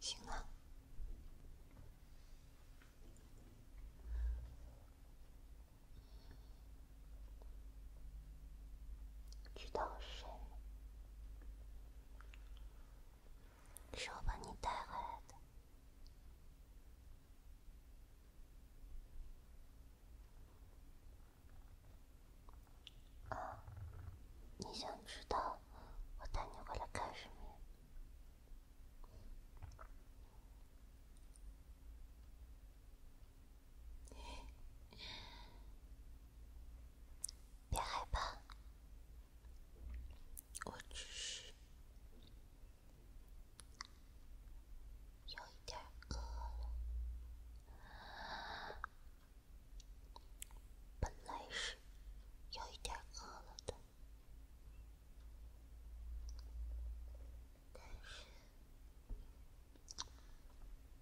醒了？知道谁？是我把你带回来的。啊！你想知道我带你过来干什么？别害怕，我只是……有一点饿了，本来是有一点饿了的，但是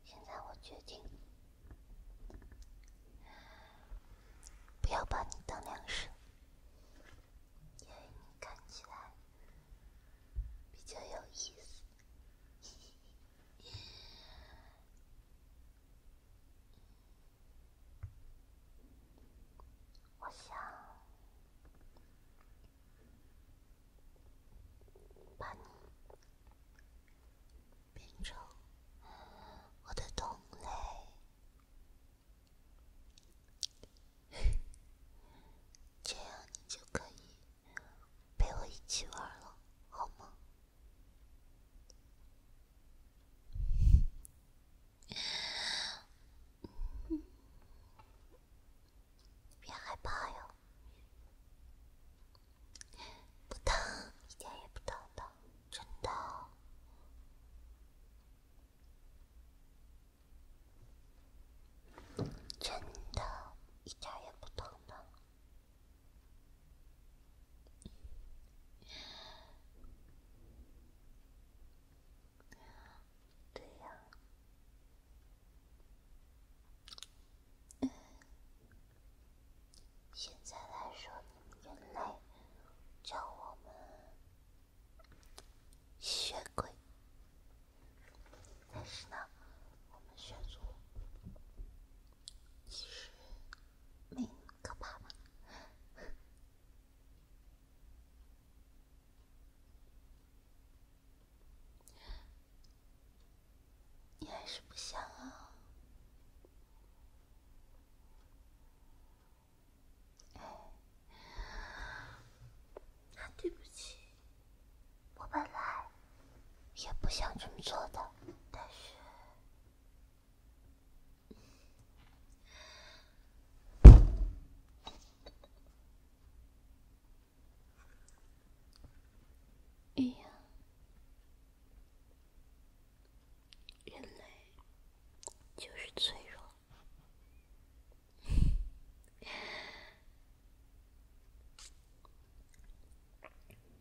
现在我决定不要把你当粮食。因为你看起来比较有意思，我想把你变成我的同类。这样你就可以陪我一起玩了，好吗？别害怕哟，不疼，一点也不疼的，真的。真的，一点也不疼的。对呀，现在来说，你们人类叫我们。吸血鬼，但是呢，我们血族其实没那么可怕吧？你还是不想啊？对不起，我本来也不想这么做的，但是，哎呀。人类就是脆弱。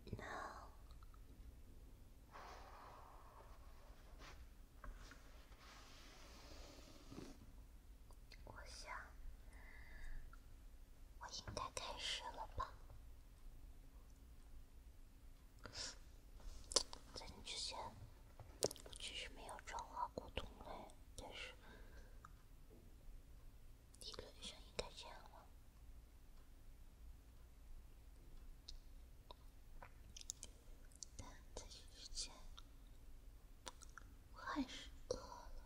应该开始了吧。在你之前，其实没有转化过同类，但是理论上应该这样了。但在这之前，我还是饿了。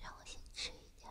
让我先吃一点。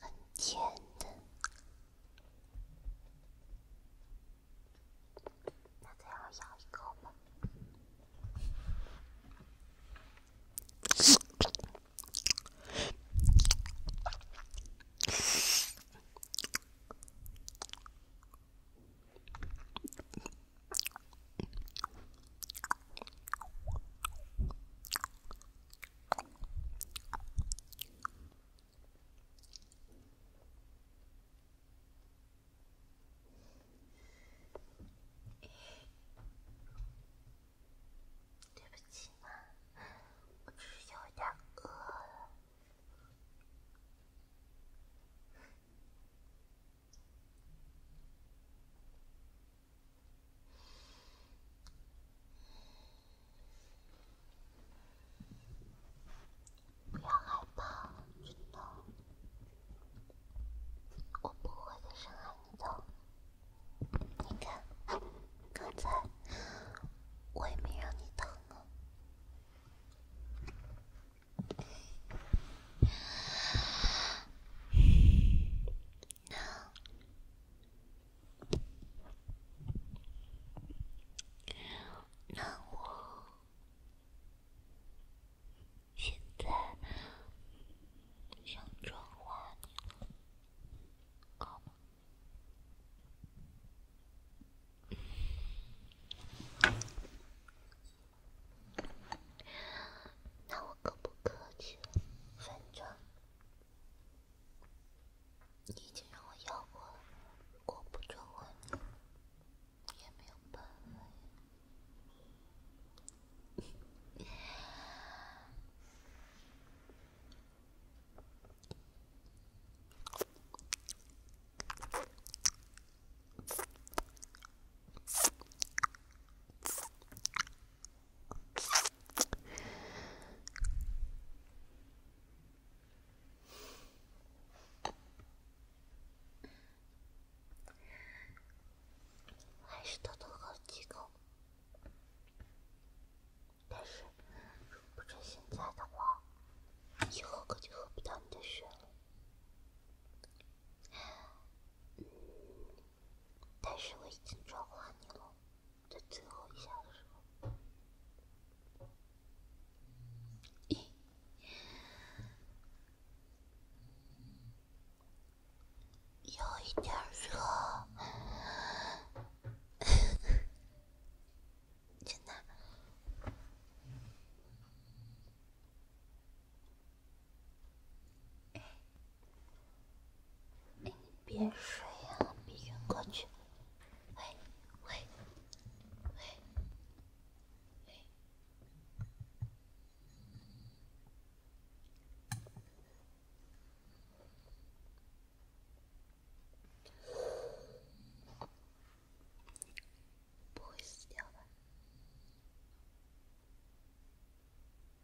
很甜的，那再咬一口吧。对不起嘛，我只是有点饿了。不要害怕，知道？我不会再伤害你的。你看，刚才我也没让你疼啊。那……那我现在想转化你了，那我更不客气了，反正你已经让我要过了，如果不追我，也没有办法呀。还是偷偷喝几口，但是，如不是现在的话，以后可就喝不到你的血了。但是我已经转化你了，在最后一下的时候，有一点热，真的。哎，别睡呀，别晕过去！喂，喂，喂，喂，不会死掉吧？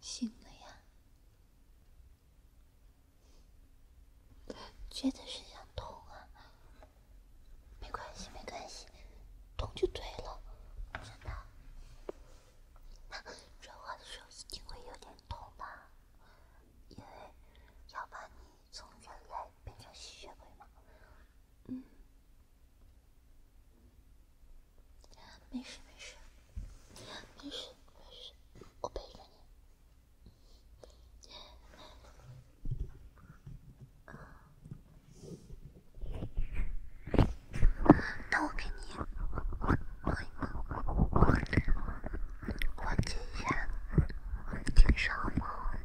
醒了呀？觉得是想痛啊？没关系，没关系，痛就对了，真的。那转化的时候一定会有点痛吧？因为要把你从人类变成吸血鬼嘛。嗯，没事没事，没事没事，我陪着你。那我给你做缓解一下，听上一会儿，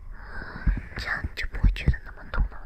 这样你就不会觉得那么痛了。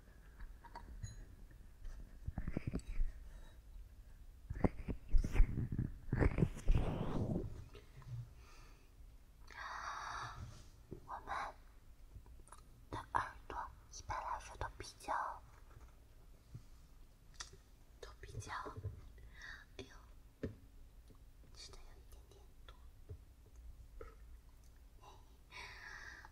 我们，的耳朵一般来说都比较，都比较，哎呦，吃的有一点点多。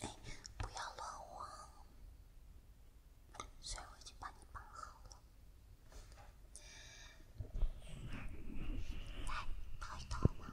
哎，不要乱晃，所以我已经帮你绑好了。来，抱一抱嘛。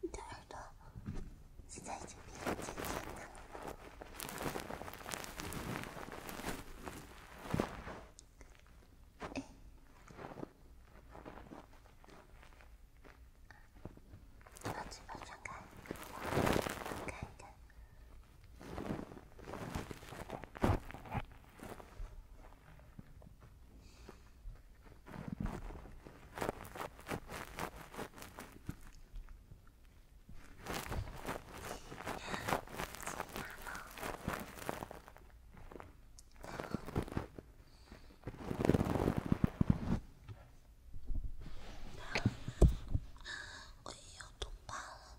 你的耳朵现在已经变得尖尖的了。哎，你把嘴巴张开，我看看。我也要冻伴了。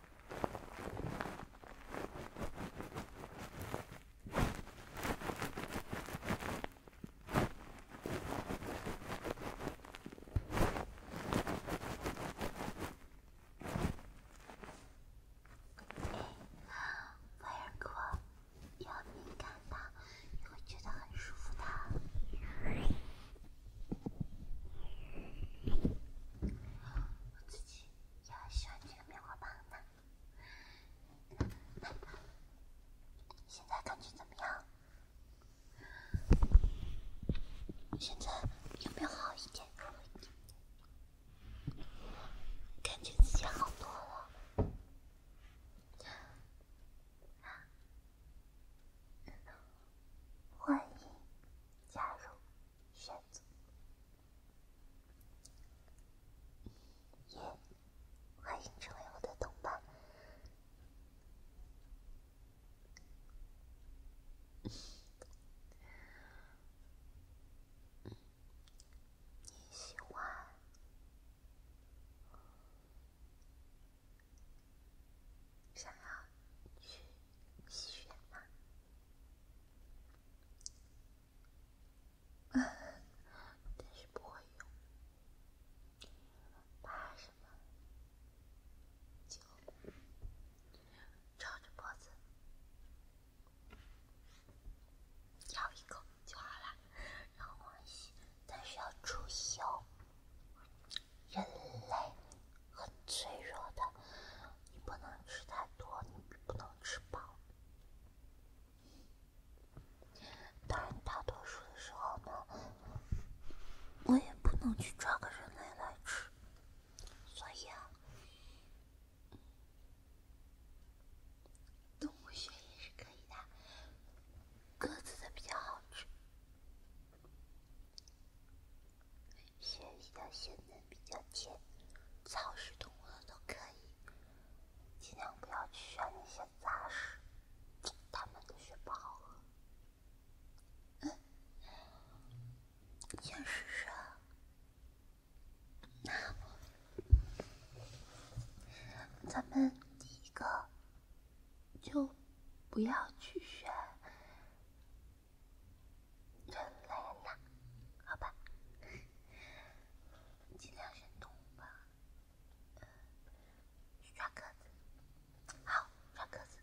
哎，威尔哥，不要敏感你会觉得很舒服的。我自己。也喜欢这个棉花棒呢。现在感觉怎么样？现在有没有好一点？感觉自己好多了。欢迎加入。选择耶，欢迎成为我的同伴。你喜欢想要？去。血吗？但是不会用，怕什么？就绕着脖子咬一口就好了，然后但是要注意哦，人类。很脆弱的，你不能吃太多，你不能吃饱。当然，大多数的时候呢，我也不能去抓个人类来吃，所以啊，动物血也是可以的，鸽子的比较好吃。血比较鲜嫩、比较甜，草食动物的都可以，尽量不要去选那些杂食，它们的血不好喝。嗯，想试试？啊。那咱们第一个就不要去选。人类呢？好吧，尽量选动物吧。抓鸽子，好抓鸽子。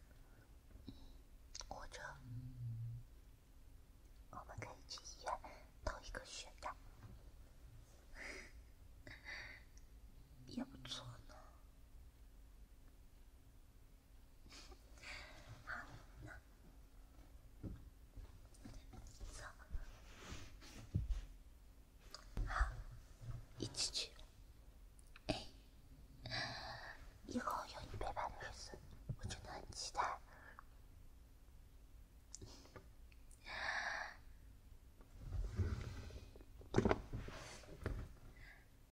火车，我们可以去医院偷一个血袋，也不错呢。好，那走，好，一起去。以后有你陪伴的日子，我真的很期待。